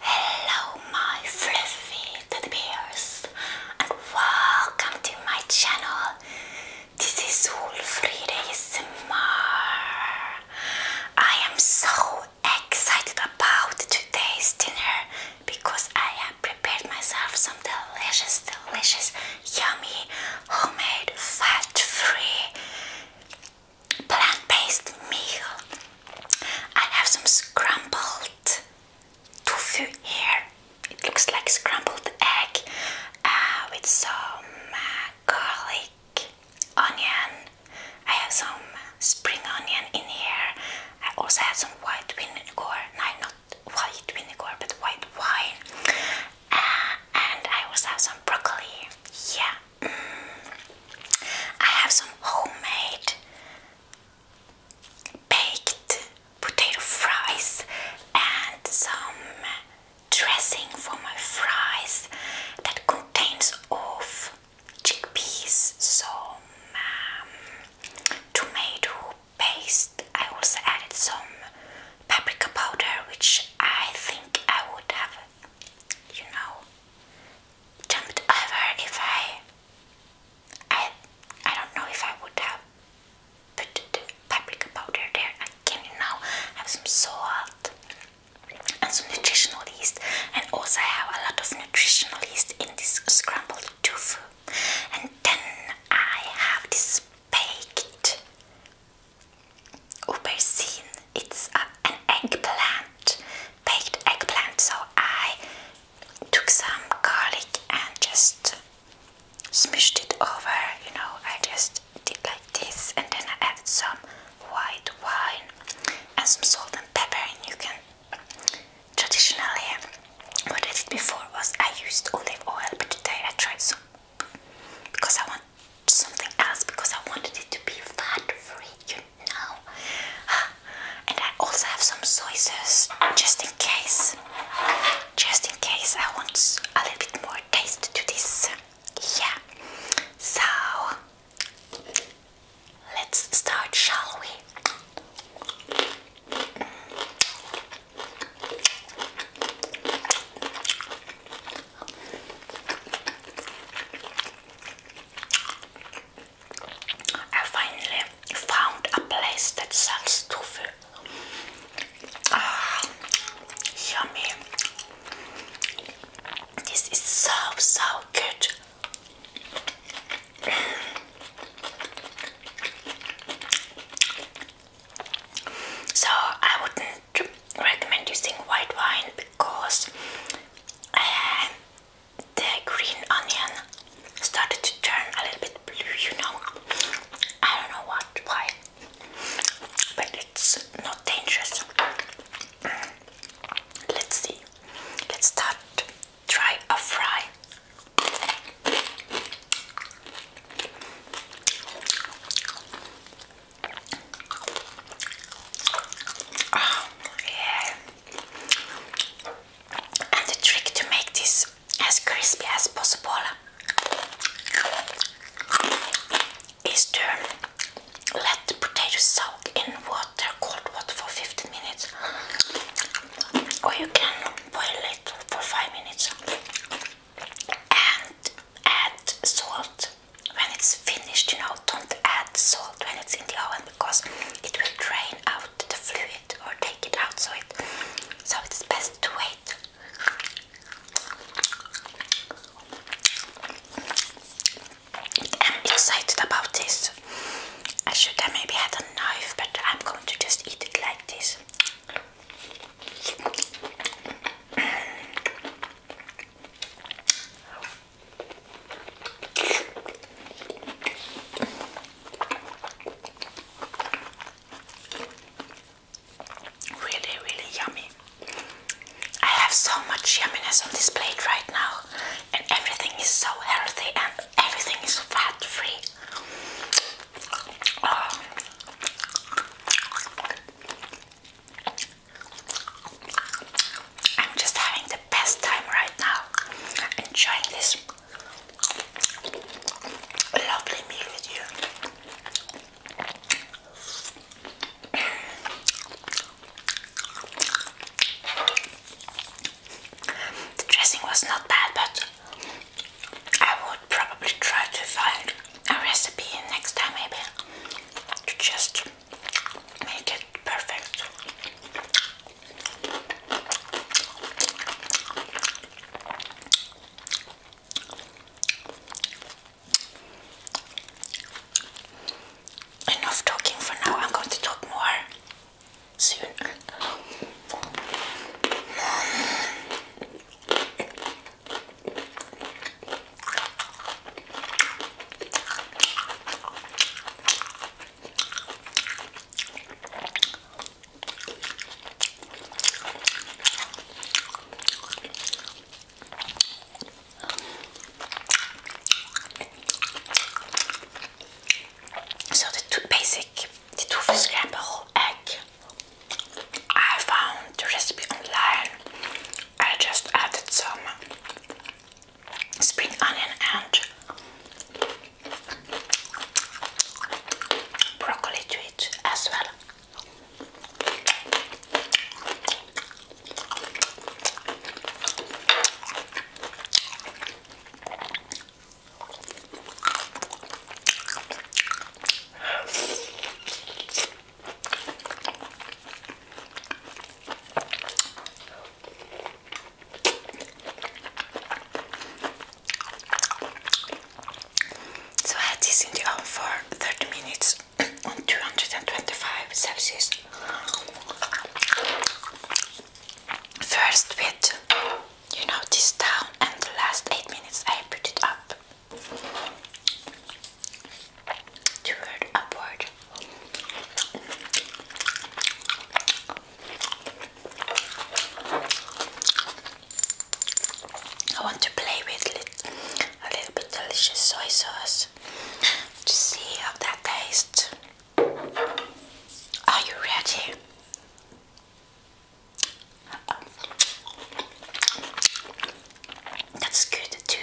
Hello, my fluffy teddy bears, and welcome to my channel. This is Wolfried ASMR. I am so excited about today's dinner because I have prepared myself some delicious, delicious, yummy homemade, fat-free, plant-based meal. I have some scrambled tofu here. It looks like scrambled egg uh, with some uh, garlic, onion. I have some spring onion in here. I also have some white vinegar. No, not white vinegar but white wine uh, and I also have some broccoli yeah mm. I have some homemade baked potato fries and some dressing for my fries that contains of chickpeas some um, tomato paste. I also added some paprika powder, which I think I would have, you know, jumped over if I. I I don't know if I would have put the paprika powder there. I can you now have some salt and some nutritional yeast, and also I have a lot of nutritional yeast in this scrambled tofu. And then I have this baked aubergine. It's an eggplant, baked eggplant. So I took some garlic and just smushed it over. You know, I just did like this, and then I added some white wine and some salt and pepper. And you can traditionally what I did before was I used olive oil, but today I tried some because I want something else because I wanted it to be fat free, you know. And I also have some soy sauce just in case. Just in case I want a little bit more taste to this. Yeah. So let's start, shall we? I finally found a place that sells tofu. Ah, yummy. This is so, so good. So I wouldn't recommend using white wine because uh, the green onion started to turn a little bit blue, you know. I don't know what, why, but it's not dangerous. Let's see. Let's start. Try a fry. Oh, and the trick to make this as crispy as possible is to let the potato soak in water, cold water for 15 minutes or you can boil it for 5 minutes and add salt when it's finished. You know, don't add salt when it's in the oven because it will drain out the fluid or take it out. so it's best to wait. I'm excited about this. I should have maybe had a knife, but I'm going to just eat it like this. Really, really yummy. I have so much yumminess on this plate right now, and everything is so healthy and everything is fat free. Oh. I'm just having the best time right now, enjoying this lovely meal with you. The dressing was not bad, but I would probably try to find a recipe next time maybe to just make it perfect. Enough talking for now, I'm going to talk more soon. So the two basic, the two scramble egg I found the recipe online. I just added some spring onion and broccoli to as well. So I had this in the oven for 30 minutes on 225 Celsius. First with, you know, this down and the last 8 minutes I put it up toward upward. I want to play with a little bit delicious soy sauce to see how that tastes. Are you ready? That's good too.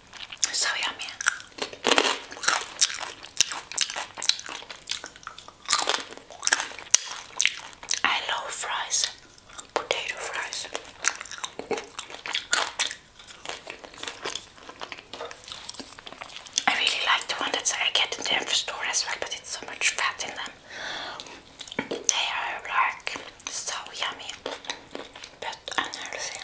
So yummy. I love fries, potato fries. I really like the one that I get in the Amphor store as well, but it's so much fat in them. They are like so yummy, but unhealthy.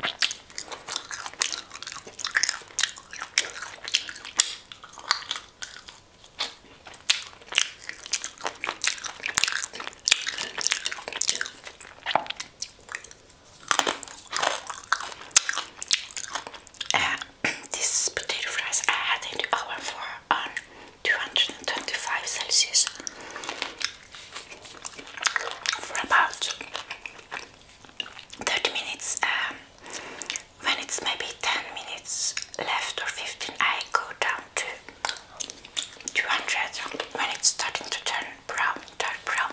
Uh, this potato fries I had in the oven for on um, 225 Celsius for about 30 minutes um, when it's maybe 10 minutes left or 15 I go down to 200 when it's starting to turn brown, dark brown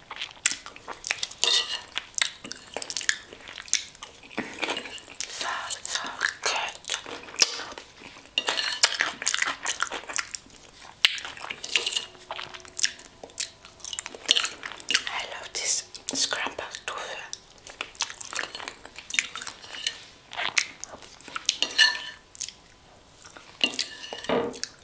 That so I love this scrambled tofu.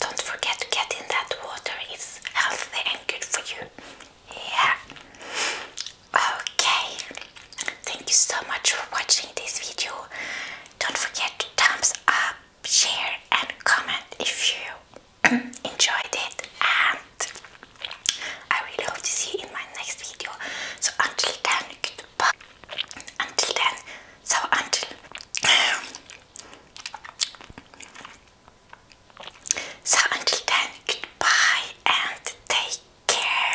Don't forget to get in that water, it's healthy and good for you. Yeah. Okay. Thank you so much for watching this video. Don't forget to thumbs up, share and comment if you enjoyed it and I really hope to see you in my next video. So until then, goodbye. Until then, so until So until then, goodbye and take care.